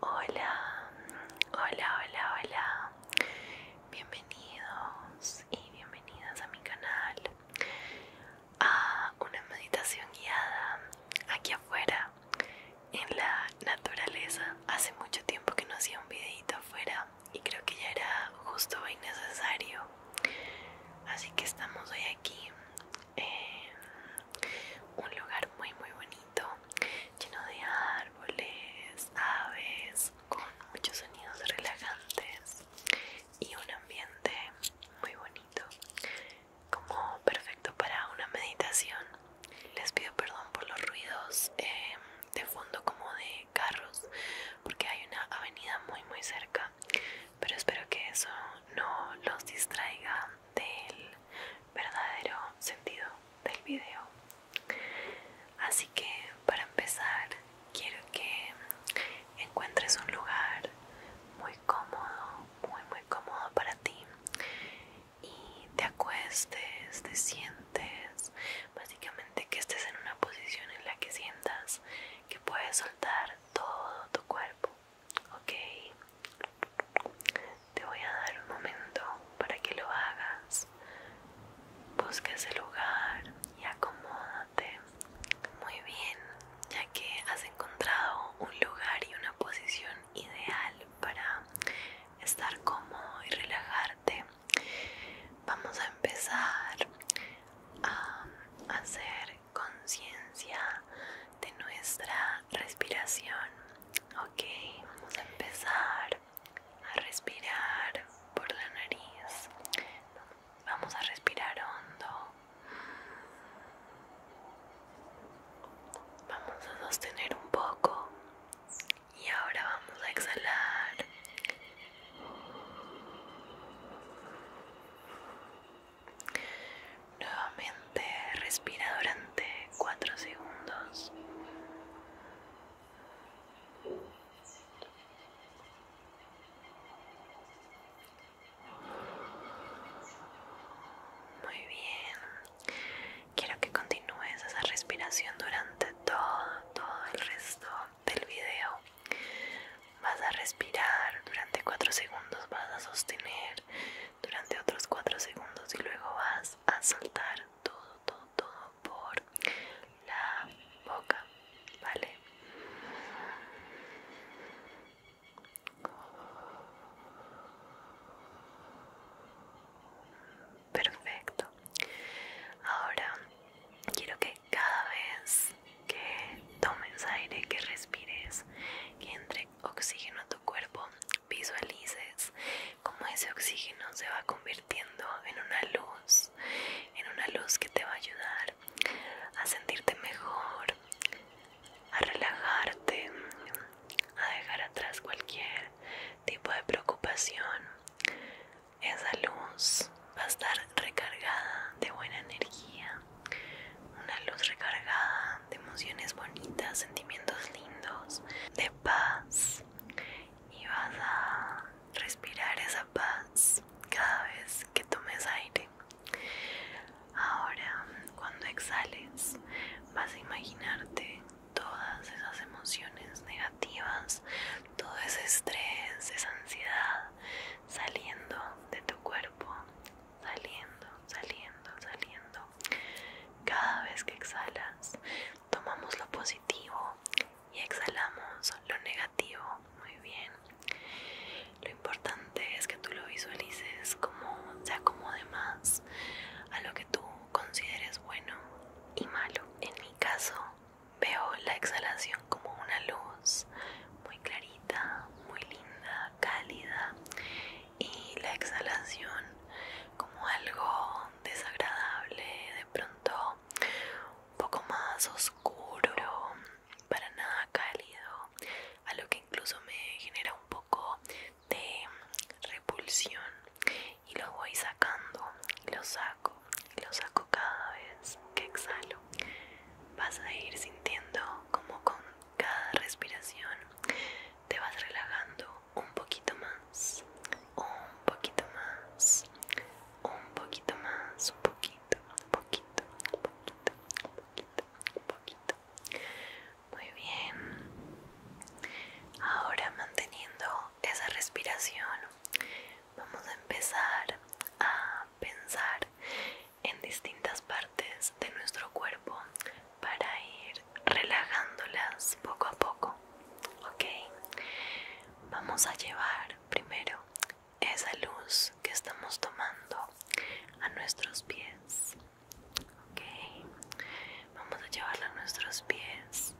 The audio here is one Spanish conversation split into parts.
Hola, hola, hola, hola. Bienvenidos y bienvenidas a mi canal. A una meditación guiada aquí afuera en la naturaleza. Hace mucho tiempo que no hacía un videito afuera y creo que ya era justo y e necesario. Así que estamos hoy aquí eh, un lugar muy muy bonito lleno de árboles, aves, con muchos sonidos relajantes y un ambiente muy bonito como perfecto para una meditación les pido perdón por los ruidos eh, de fondo como de carros porque hay una avenida muy muy cerca pero espero que eso no los distraiga del verdadero sentido del video así que para empezar quiero que encuentres un lugar muy cómodo muy muy cómodo para ti y te acuestes te sientes básicamente que estés en una posición en la que sientas que puedes soltar todo tu cuerpo Ok, te voy a dar un momento para que lo hagas. Busca ese lugar y acomódate. Muy bien, ya que has encontrado un lugar y una posición ideal para estar cómodo y relajarte, vamos a empezar a hacer conciencia de nuestra respiración. Ok, vamos a empezar a respirar por la nariz. Vamos a respirar hondo. Vamos a sostener un poco y ahora vamos a exhalar. Nuevamente respira durante 4 segundos. Muy bien. Quiero que continúes esa respiración durante todo, todo el resto del video. Vas a respirar durante 4 segundos, vas a sostener durante otros 4 segundos y luego vas a soltar todo, todo, todo por la boca, ¿vale? Perfecto. Ahora quiero que cada vez que tomes aire, que respires, que entre oxígeno a tu cuerpo, visualices cómo ese oxígeno se va convirtiendo en una luz, en una luz que te va a ayudar a sentirte mejor, a relajarte, a dejar atrás cualquier tipo de preocupación. Esa luz va a estar recargada de buena energía una luz recargada de emociones bonitas, sentimientos lindos, de paz. Y vas a respirar esa paz cada vez que tomes aire. Ahora, cuando exhales, vas a imaginarte todas esas emociones negativas, todo ese estrés, esa ansiedad saliendo de tu cuerpo saliendo, saliendo, saliendo. Cada vez que exhalas, tomamos lo positivo y exhalamos lo negativo. Muy bien. Lo importante es que tú lo visualices como se acomode más a lo que tú consideres bueno y malo. En mi caso, veo la exhalación como una luz muy clarita, muy linda, cálida y la exhalación como algo desagradable, de pronto un poco más oscuro, para nada cálido, a lo que incluso me genera un poco de repulsión y lo voy sacando, lo saco, lo saco cada vez que exhalo. Vas a ir sintiendo como con cada respiración te vas relajando un poquito más, un poquito más, un poquito más, un poquito, un poquito, un poquito, un poquito, un poquito. Muy bien. Ahora manteniendo esa respiración, vamos a empezar a pensar en distintas partes de nuestro cuerpo para ir relajándolas poco a poco. Ok, vamos a llevar primero esa luz que estamos tomando a nuestros pies. vamos a llevarla a nuestros pies,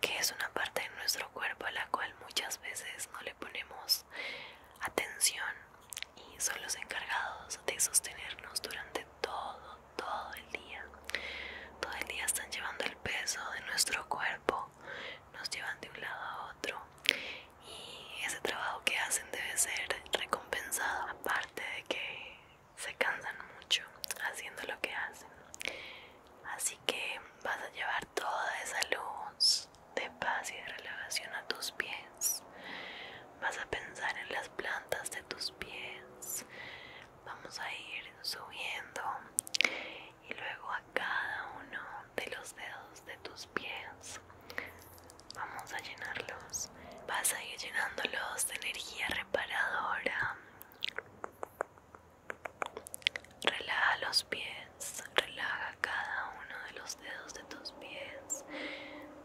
que es una parte de nuestro cuerpo a la cual muchas veces no le ponemos atención y son los encargados de sostenernos durante todo, todo el día. Todo el día están llevando el peso de nuestro cuerpo, nos llevan de un lado a otro y ese trabajo que hacen debe ser recompensado, aparte de que se cansan mucho haciendo lo que hacen. Así que vas a llevar toda esa luz de paz y de relajación a tus pies vas a pensar en las plantas de tus pies, vamos a ir subiendo y luego a cada uno de los dedos de tus pies vamos a llenarlos, vas a ir llenándolos de energía reparadora. Relaja los pies, relaja cada uno de los dedos de tus pies,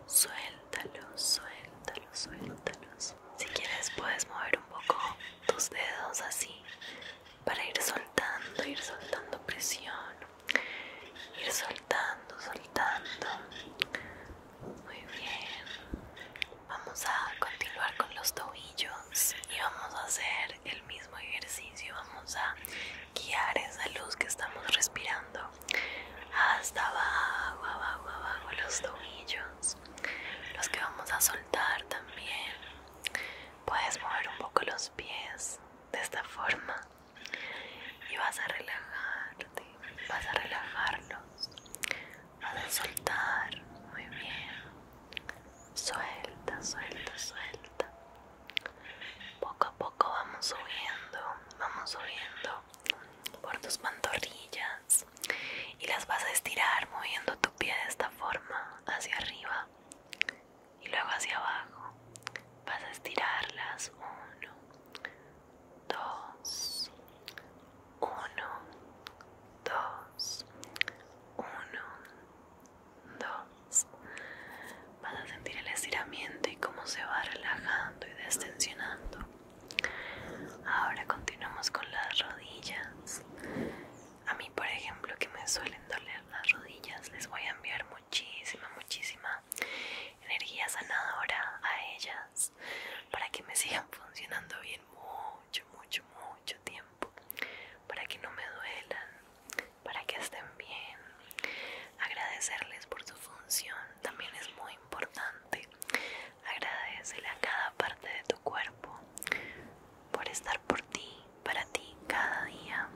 suelta suéltalo, suéltalo, suéltalos. Si quieres puedes mover un poco tus dedos así para ir soltando, ir soltando presión, ir soltando, soltando. Muy bien. Vamos a continuar con los tobillos y vamos a hacer el mismo ejercicio. Vamos a guiar esa luz que estamos respirando hasta abajo, abajo, abajo los tobillos, los que vamos a soltar también. Puedes mover un poco los pies de esta forma y vas a relajarte, vas a relajarlos, vas a soltar, muy bien. Suelta, suelta, suelta. Poco a poco vamos subiendo, vamos subiendo por tus pantorrillas y las vas a estirar moviendo tu pie de esta forma hacia arriba y luego hacia abajo. Vas a estirarlas. Uno, dos, uno, dos, uno, dos. Vas a sentir el estiramiento y cómo se va relajando y destensionando Ahora continuamos con las rodillas. A mí, por ejemplo, que me suelen doler las rodillas, les voy a enviar muchísima, muchísima energía sanadora a ellas para que me sigan funcionando bien mucho, mucho, mucho tiempo, para que no me duelan, para que estén bien. Agradecerles por su función también es muy importante Agradecele a cada parte de tu cuerpo por estar por ti, para ti cada día.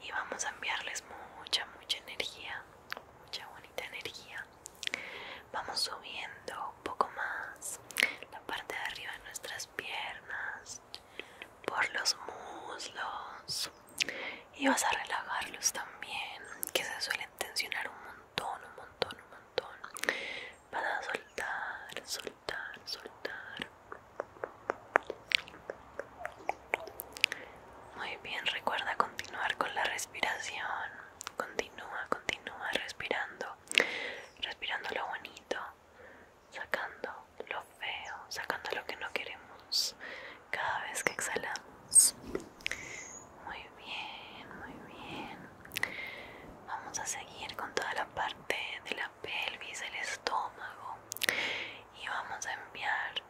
Y vamos a enviarles mucha, mucha energía, mucha bonita energía. Vamos subiendo un poco más la parte de arriba de nuestras piernas, por los muslos, y vas a relajarlos también, que se suelen tensionar un montón, un montón, un montón. Vas a soltar, soltar, soltar. Muy bien, recuerda continuar con la respiración. Continúa, continúa respirando. Respirando lo bonito, sacando lo feo, sacando lo que no queremos cada vez que exhalamos. Muy bien, muy bien. Vamos a seguir con toda la parte de la pelvis, el estómago y vamos a enviar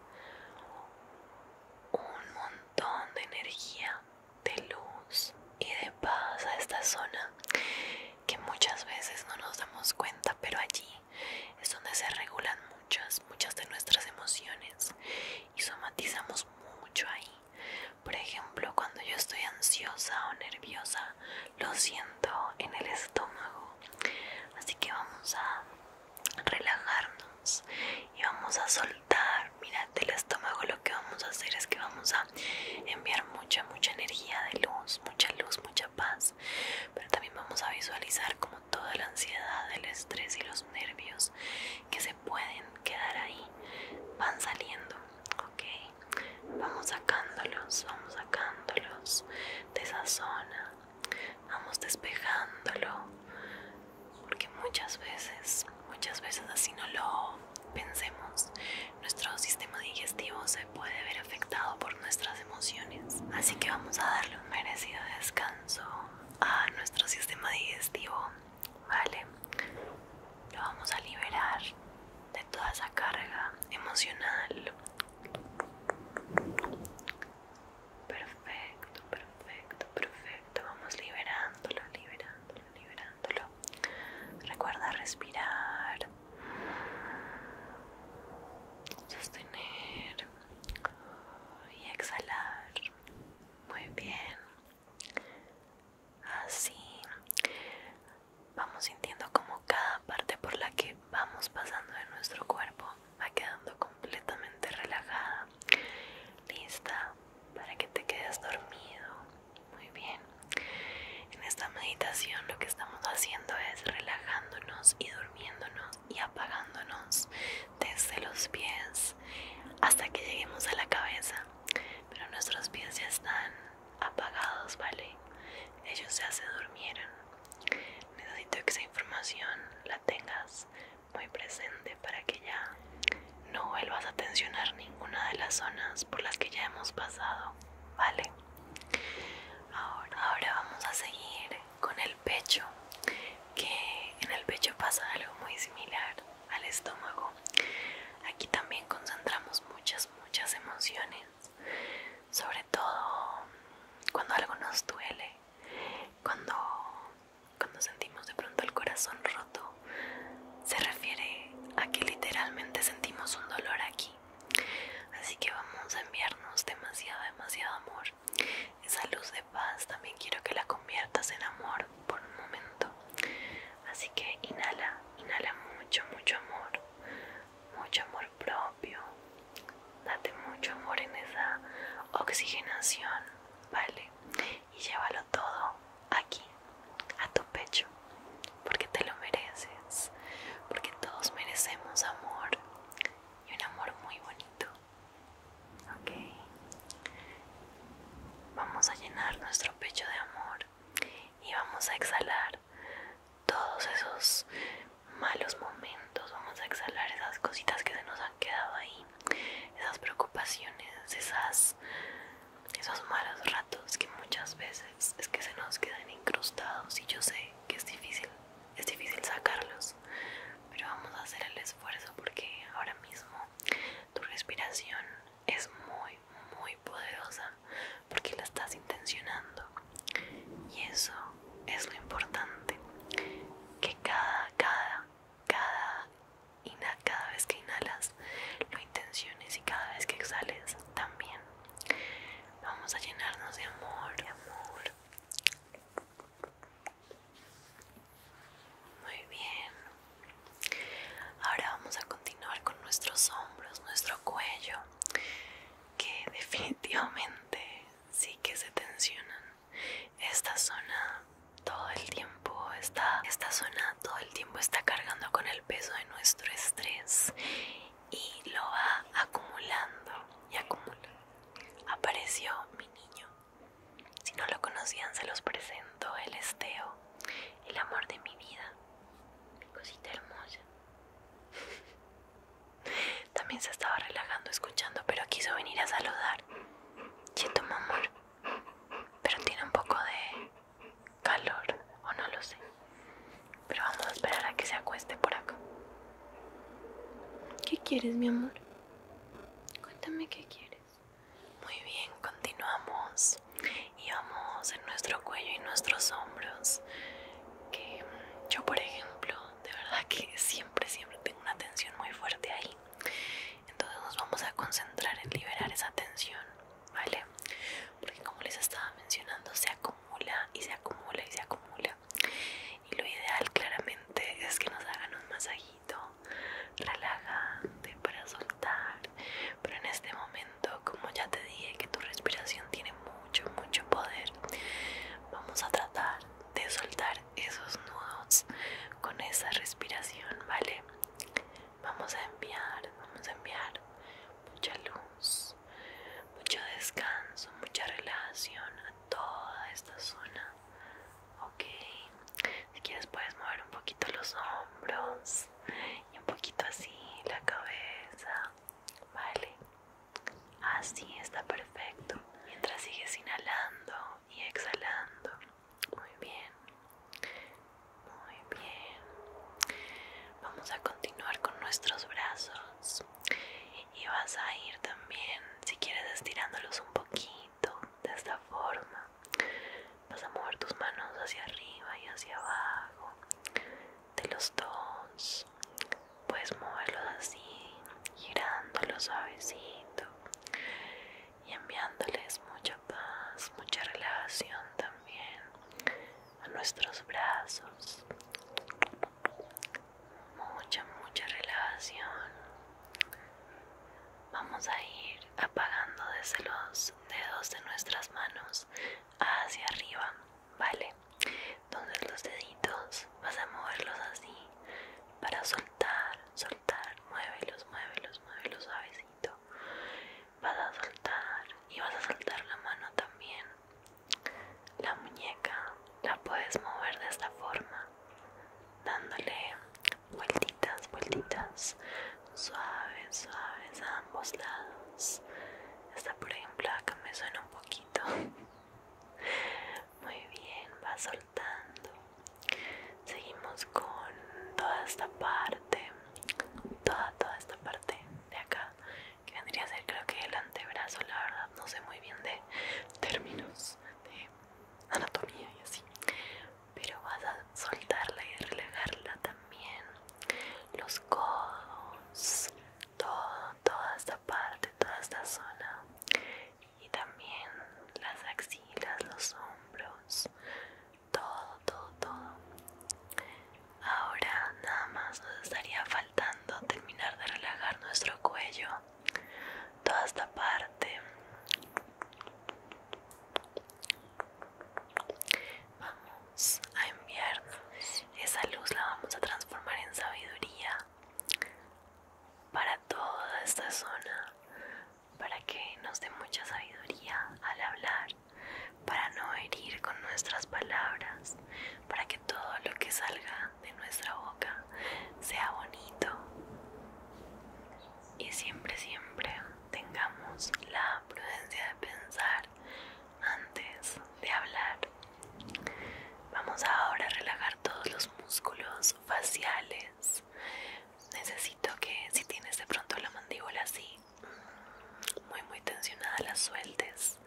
un montón de energía, de luz y de paz a esta zona que muchas veces no nos damos cuenta, pero allí es donde se regulan muchas, muchas de nuestras emociones y somatizamos mucho ahí. Por ejemplo, cuando yo estoy ansiosa o nerviosa, lo siento en el estómago. Así que vamos a relajarnos y vamos a soltar. Mirad el estómago lo que vamos a hacer es que vamos a enviar mucha, mucha energía de luz, mucha luz, mucha paz. Pero también vamos a visualizar como toda la ansiedad, el estrés y los nervios que se pueden quedar ahí van saliendo, Vamos sacándolos, vamos sacándolos de esa zona, vamos despejándolo, porque muchas veces, muchas veces así no lo pensemos, nuestro sistema digestivo se puede ver afectado por nuestras emociones, así que vamos a darle un merecido descanso a nuestro sistema digestivo, ¿vale? Lo vamos a liberar de toda esa carga emocional. Perfecto, perfecto, perfecto. Vamos liberándolo, liberándolo, liberándolo. Recuerda respirar, sostener y exhalar muy bien así vamos sintiendo como cada parte por la que vamos pasando de nuestro cuerpo va quedando completamente relajada lista para que te quedes dormido muy bien en esta meditación lo que estamos haciendo es relajándonos y durmiéndonos y apagándonos desde los pies hasta que lleguemos a la cabeza. Pero nuestros pies ya están apagados, ¿vale? Ellos ya se durmieron. Necesito que esa información la tengas muy presente para que ya no vuelvas a tensionar ninguna de las zonas por las que ya hemos pasado, ¿vale? Ahora, ahora vamos a seguir con el pecho que en el pecho pasa algo muy similar al estómago aquí también concentramos muchas muchas emociones sobre todo cuando algo nos duele cuando cuando sentimos de pronto el corazón roto se refiere a que literalmente sentimos un dolor aquí así que vamos a enviarnos demasiado demasiado amor esa luz de paz también quiero que la conviertas en amor por un momento. Así que inhala, inhala mucho, mucho amor, mucho amor propio. Date mucho amor en esa oxigenación, ¿vale? Y llévalo todo aquí, a tu pecho, porque te lo mereces, porque todos merecemos amor y un amor muy bonito vamos a llenar nuestro pecho de amor y vamos a exhalar todos esos malos momentos vamos a exhalar esas cositas que se nos han quedado ahí esas preocupaciones esas esos malos ratos que muchas veces es que se nos quedan incrustados y yo sé que es difícil es difícil sacarlos, pero vamos a hacer el esfuerzo porque ahora mismo tu respiración es muy, muy poderosa porque la estás intencionando y eso es lo importante que cada cada cada cada vez que inhalas lo intenciones y cada vez que exhales también vamos a llenarnos de amor de amor muy bien. Ahora vamos a continuar con nuestros hombros, nuestro cuello, que definitivamente sí que se tensionan. Esta zona todo el tiempo está esta todo el tiempo está cargando con el peso de nuestro estrés y lo va acumulando y acumula. Apareció mi niño. Si no lo conocían, se los presento. El esteo, el amor de mi vida, cosita hermosa. También se estaba relajando escuchando, pero quiso venir a saludar. Cheto, amor. Pero tiene un poco de calor, o no lo sé. Pero vamos a esperar a que se acueste por acá. ¿Qué quieres, mi amor? Cuéntame qué quieres. Muy bien, continuamos y vamos en nuestro cuello y nuestros hombros. Que yo, por ejemplo, de verdad que siempre, siempre tengo una tensión muy fuerte ahí. Entonces nos vamos a concentrar en liberar esa tensión, ¿vale? Porque como les estaba mencionando, se acumula y se acumula y se acumula. Y lo ideal claramente es que nos hagan un masaje relajante para soltar pero en este momento como ya te dije que tu respiración tiene mucho mucho poder vamos a tratar de soltar esos nudos con esa respiración vale vamos a enviar vamos a enviar mucha luz mucho descanso mucha relación a toda esta zona ok si quieres puedes mover un poquito los hombros y un poquito así la cabeza vale así está perfecto mientras sigues inhalando y exhalando muy bien muy bien vamos a continuar con nuestros brazos y vas a ir también si quieres estirándolos un poquito de esta forma vas a mover tus manos hacia arriba y hacia abajo de los dos puedes moverlos así girándolos suavecito y enviándoles mucha paz mucha relajación también a nuestros brazos mucha mucha relajación Vamos a ir apagando desde los dedos de nuestras manos hacia arriba, ¿vale? Entonces los deditos vas a moverlos así para soltar, soltar, muévelos, muévelos, muévelos suavecito. Vas a soltar y vas a soltar la mano también. La muñeca la puedes mover de esta forma, dándole vueltitas, vueltitas, suaves, suaves a ambos lados. Esta, por ejemplo, acá me suena un poquito. Muy bien, va soltando. Seguimos con toda esta parte, toda, toda esta parte de acá, que vendría a ser creo que el antebrazo, la verdad, no sé muy bien de términos de anatomía y así pero vas a soltarla y relajarla también los codos todo, toda esta parte toda esta zona y también las axilas los hombros todo todo todo ahora nada más nos estaría faltando terminar de relajar nuestro cuello toda esta parte vamos a enviar esa luz la vamos a transformar en sabiduría para toda esta zona para que nos dé mucha sabiduría al hablar para no herir con nuestras palabras para que todo lo que salga de nuestra boca sea bonito y siempre, siempre tengamos la prudencia de pensar antes de hablar. Vamos ahora a relajar todos los músculos faciales. Necesito que si tienes de pronto la mandíbula así, muy muy tensionada, la sueltes.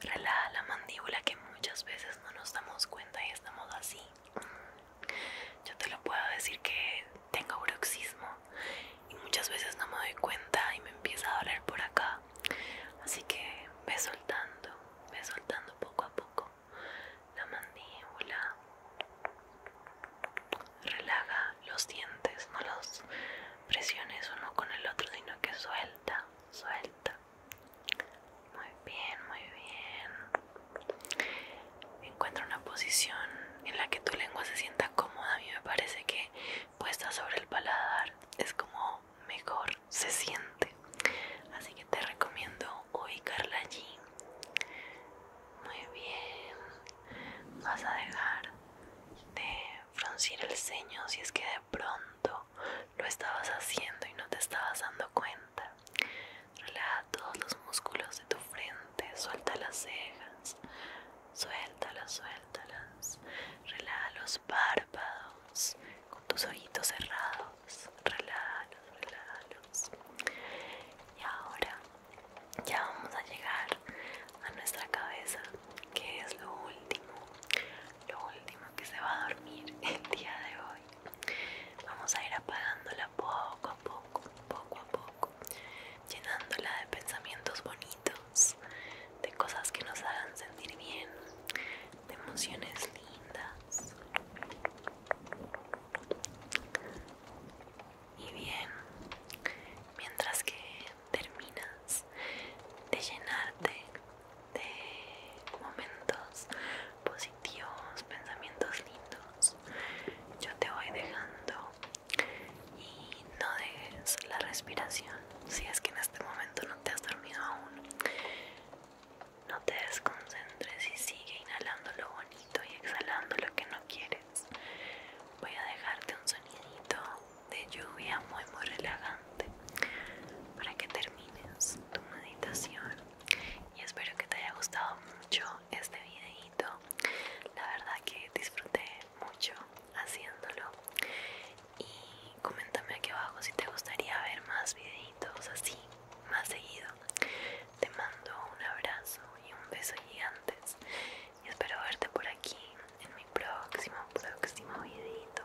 Relaja la mandíbula que muchas veces no nos damos cuenta y estamos así yo te lo puedo decir que tengo bruxismo y muchas veces no me doy cuenta y me empieza a doler por acá. Así que ve soltando, ve soltando poco a poco la mandíbula. Relaja los dientes, no los presiones uno con el otro, sino que suelta, suelta. Muy bien, muy bien. Encuentra una posición en la que tu lengua se sienta cómoda. A mí me parece que puesta sobre el paladar es como mejor se siente. Así que te recomiendo ubicarla allí. Muy bien. Vas a dejar de fruncir el ceño si es que de pronto lo estabas haciendo y no te estabas dando cuenta. Relaja todos los músculos de tu frente, suelta las cejas, suéltalas, suéltalas. Relaja los párpados con tus ojitos cerrados, relájalos, los. Y ahora ya vamos a llegar a nuestra cabeza, que es lo último, lo último que se va a dormir el día de hoy. Vamos a ir apagándola poco a poco, poco a poco, llenándola de pensamientos bonitos, de cosas que nos hagan sentir bien, de emociones lindas. Y bien, mientras que terminas de llenarte de momentos positivos, Dios, pensamientos lindos. Yo te voy dejando y no dejes la respiración. Si es que en este momento no te has dormido aún, no te desconcentres y sigue inhalando lo bonito y exhalando lo que no quieres. Voy a dejarte un sonidito de lluvia muy muy relajante para que termines tu meditación y espero que te haya gustado mucho este videito la verdad que disfruté mucho haciéndolo y coméntame aquí abajo si te gustaría ver más videitos así más seguido te mando un abrazo y un beso gigantes y espero verte por aquí en mi próximo próximo videito